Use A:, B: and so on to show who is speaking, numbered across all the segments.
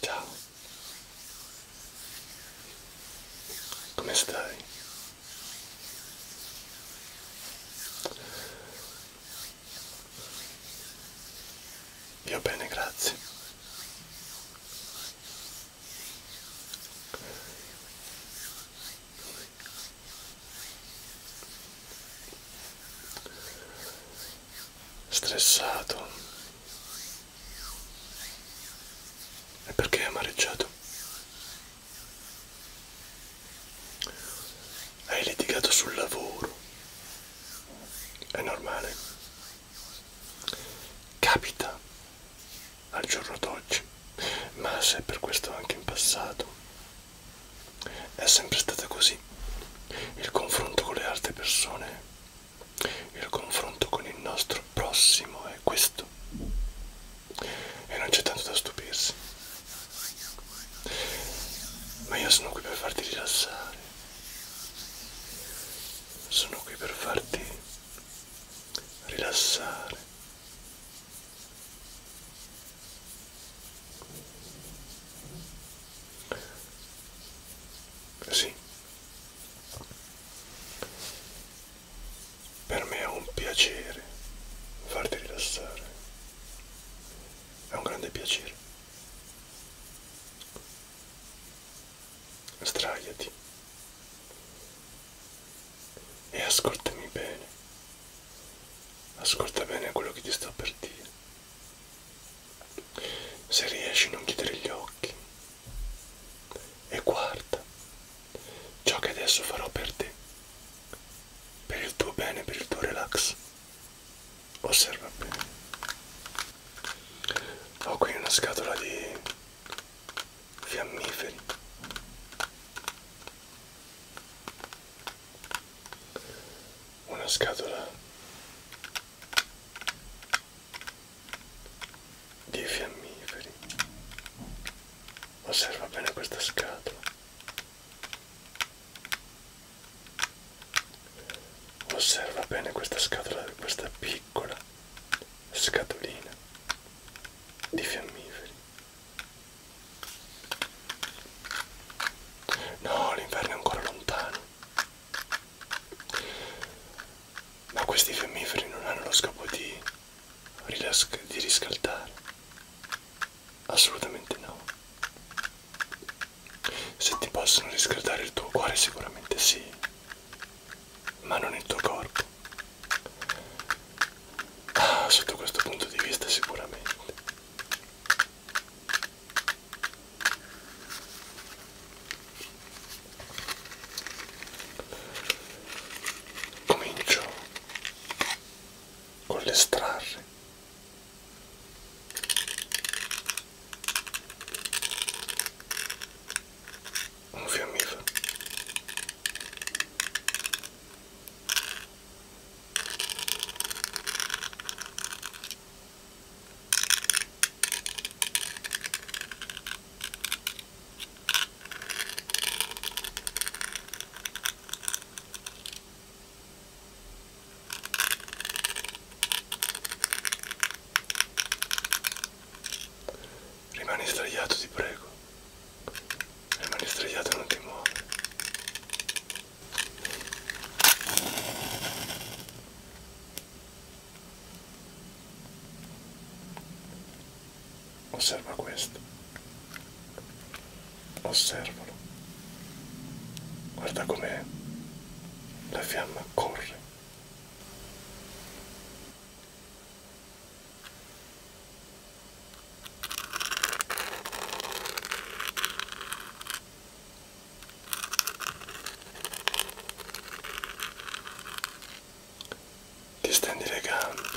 A: Ciao. Come stai? Io bene, grazie stressato e perché amareggiato hai litigato sul lavoro è normale capita al giorno d'oggi ma se per questo anche in passato è sempre stata così. Il confronto con le altre persone, il confronto con il nostro prossimo è questo. E non c'è tanto da stupirsi. Ma io sono qui per farti rilassare. Sono qui per farti rilassare. Sì, per me è un piacere farti rilassare, è un grande piacere. Sdraiati e ascoltami bene. Ascolta bene quello che ti sto per dire. Se riesci non chiudere gli occhi e guarda ciò che adesso farò per te, per il tuo bene, per il tuo relax. Osserva bene. Ho qui una scatola di fiammiferi una scatola di fiammiferi. Osserva bene questa scatola. Osserva bene questa scatola, questa piccola scatolina di fiammiferi. No, l'inverno è ancora lontano. Ma questi fiammiferi non hanno lo scopo di, di riscaldare. Assolutamente no. Se ti possono riscaldare il tuo cuore sicuramente sì, ma non il tuo corpo. Ah, sotto questo punto di vista sicuramente comincio con l'estrarre un fiammifero Rimani sdraiato, ti prego. Le mani straiate non ti muovi. Osserva questo. Osservalo. Guarda com'è. La fiamma corre. Distendi le gambe,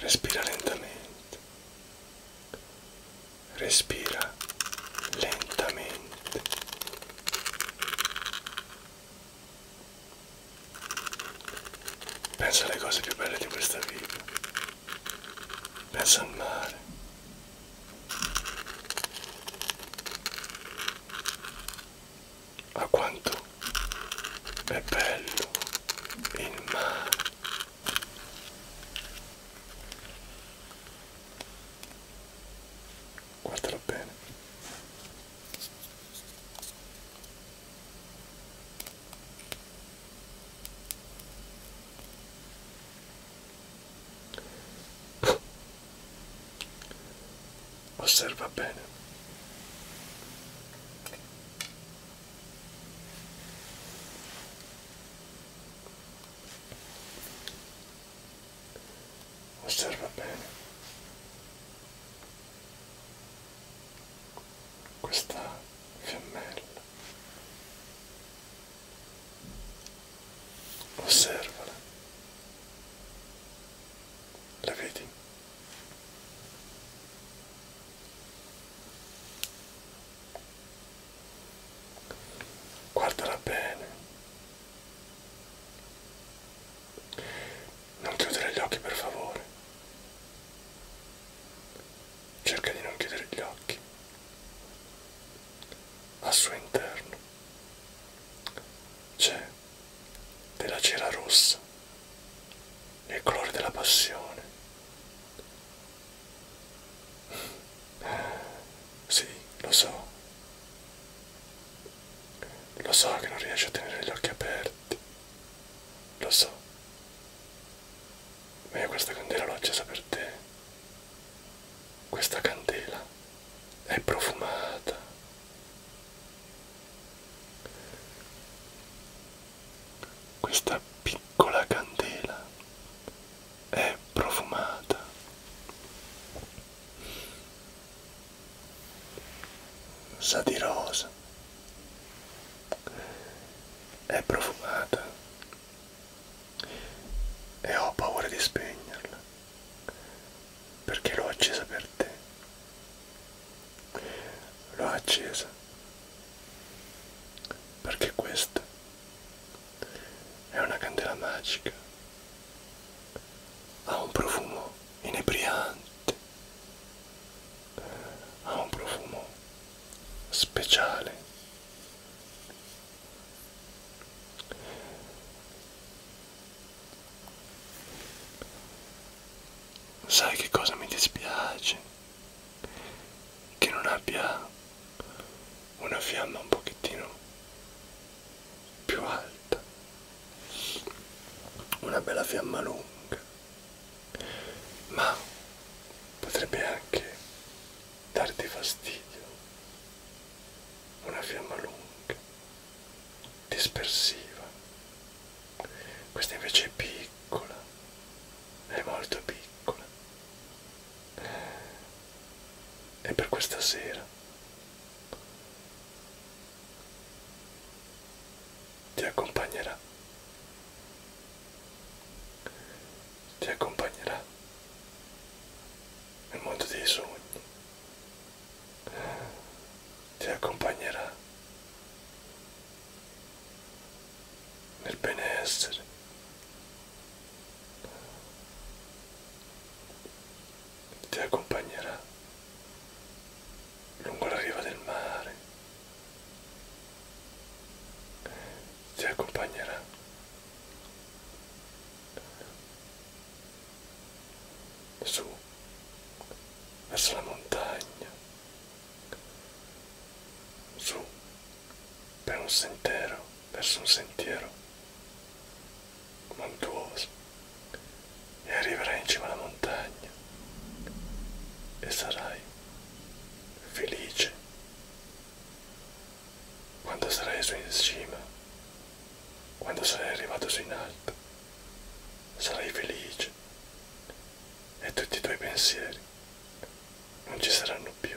A: respira lentamente, respira lentamente. Pensa alle cose più belle di questa vita. Pensa al mare. A quanto è bello il mare guardala bene osserva bene osserva bene questa fiammella osservala la vedi guardala bene non chiudere gli occhi per favore. Cerca di non chiudere gli occhi. Al suo interno c'è della cera rossa, il colore della passione. Sì, lo so. Lo so che non riesci a tenere gli occhi aperti. Lo so. Ma io questa candela l'ho accesa per te. Questa candela è profumata. Questa piccola candela è profumata. Sa di rosa. È profumata. E ho paura di spegnerla. Perché l'ho accesa per te. L'ho accesa. Perché questa è una candela magica. Ha un profumo inebriante. Ha un profumo speciale. Sai che cosa mi dispiace? che non abbia una fiamma un pochettino più alta una bella fiamma lunga ma potrebbe anche darti fastidio una fiamma lunga dispersiva questa invece è piccola è molto piccola e per questa sera ti accompagnerà ti accompagnerà nel mondo dei sogni ti accompagnerà nel benessere ti accompagnerà lungo la riva del mare, ti accompagnerà su verso la montagna, su per un sentiero, verso un sentiero montuoso e arriverai in cima alla montagna e sarai felice quando sarai su in cima, quando sarai arrivato su in alto, sarai felice e tutti i tuoi pensieri non ci saranno più.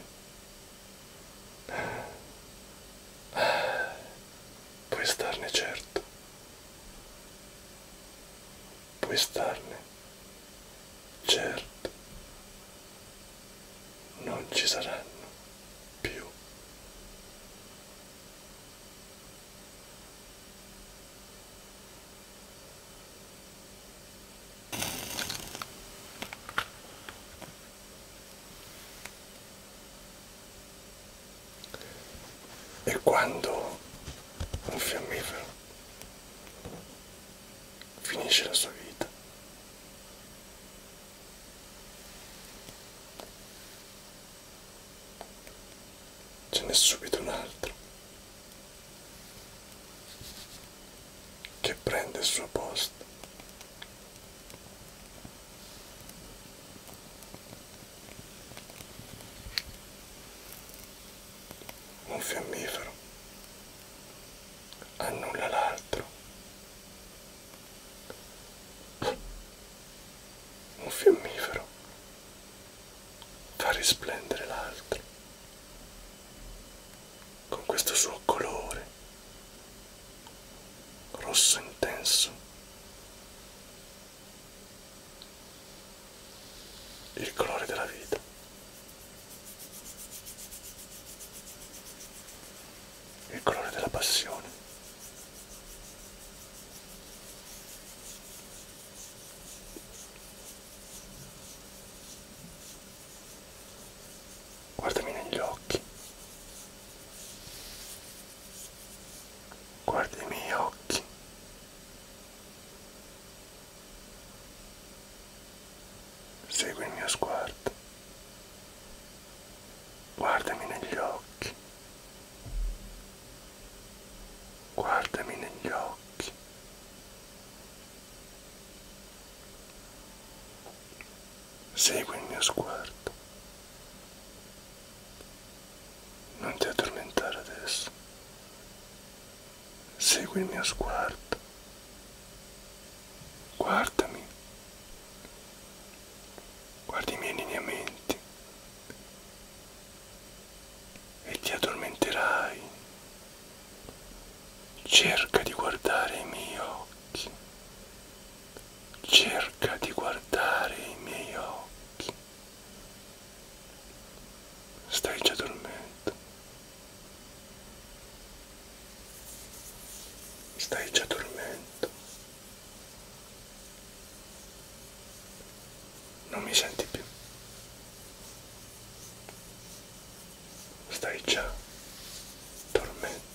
A: Puoi starne certo. Puoi starne certo. Non ci saranno più. E quando un fiammifero finisce la sua vita, ce n'è subito un altro che prende il suo posto. Un fiammifero annulla l'altro. Un fiammifero fa risplendere l'altro con questo suo colore rosso intenso il colore della vita il colore della passione Guardami negli occhi. Guarda i miei occhi. Segui il mio sguardo. Guardami negli occhi guardami negli occhi segui il mio sguardo non ti addormentare adesso segui il mio sguardo guardami guardi i miei lineamenti e ti addormenterai. Cerca di guardare i miei occhi. Cerca di guardare i miei occhi. Stai già dormendo. Stai già dormendo non mi senti più. Stai già dormendo.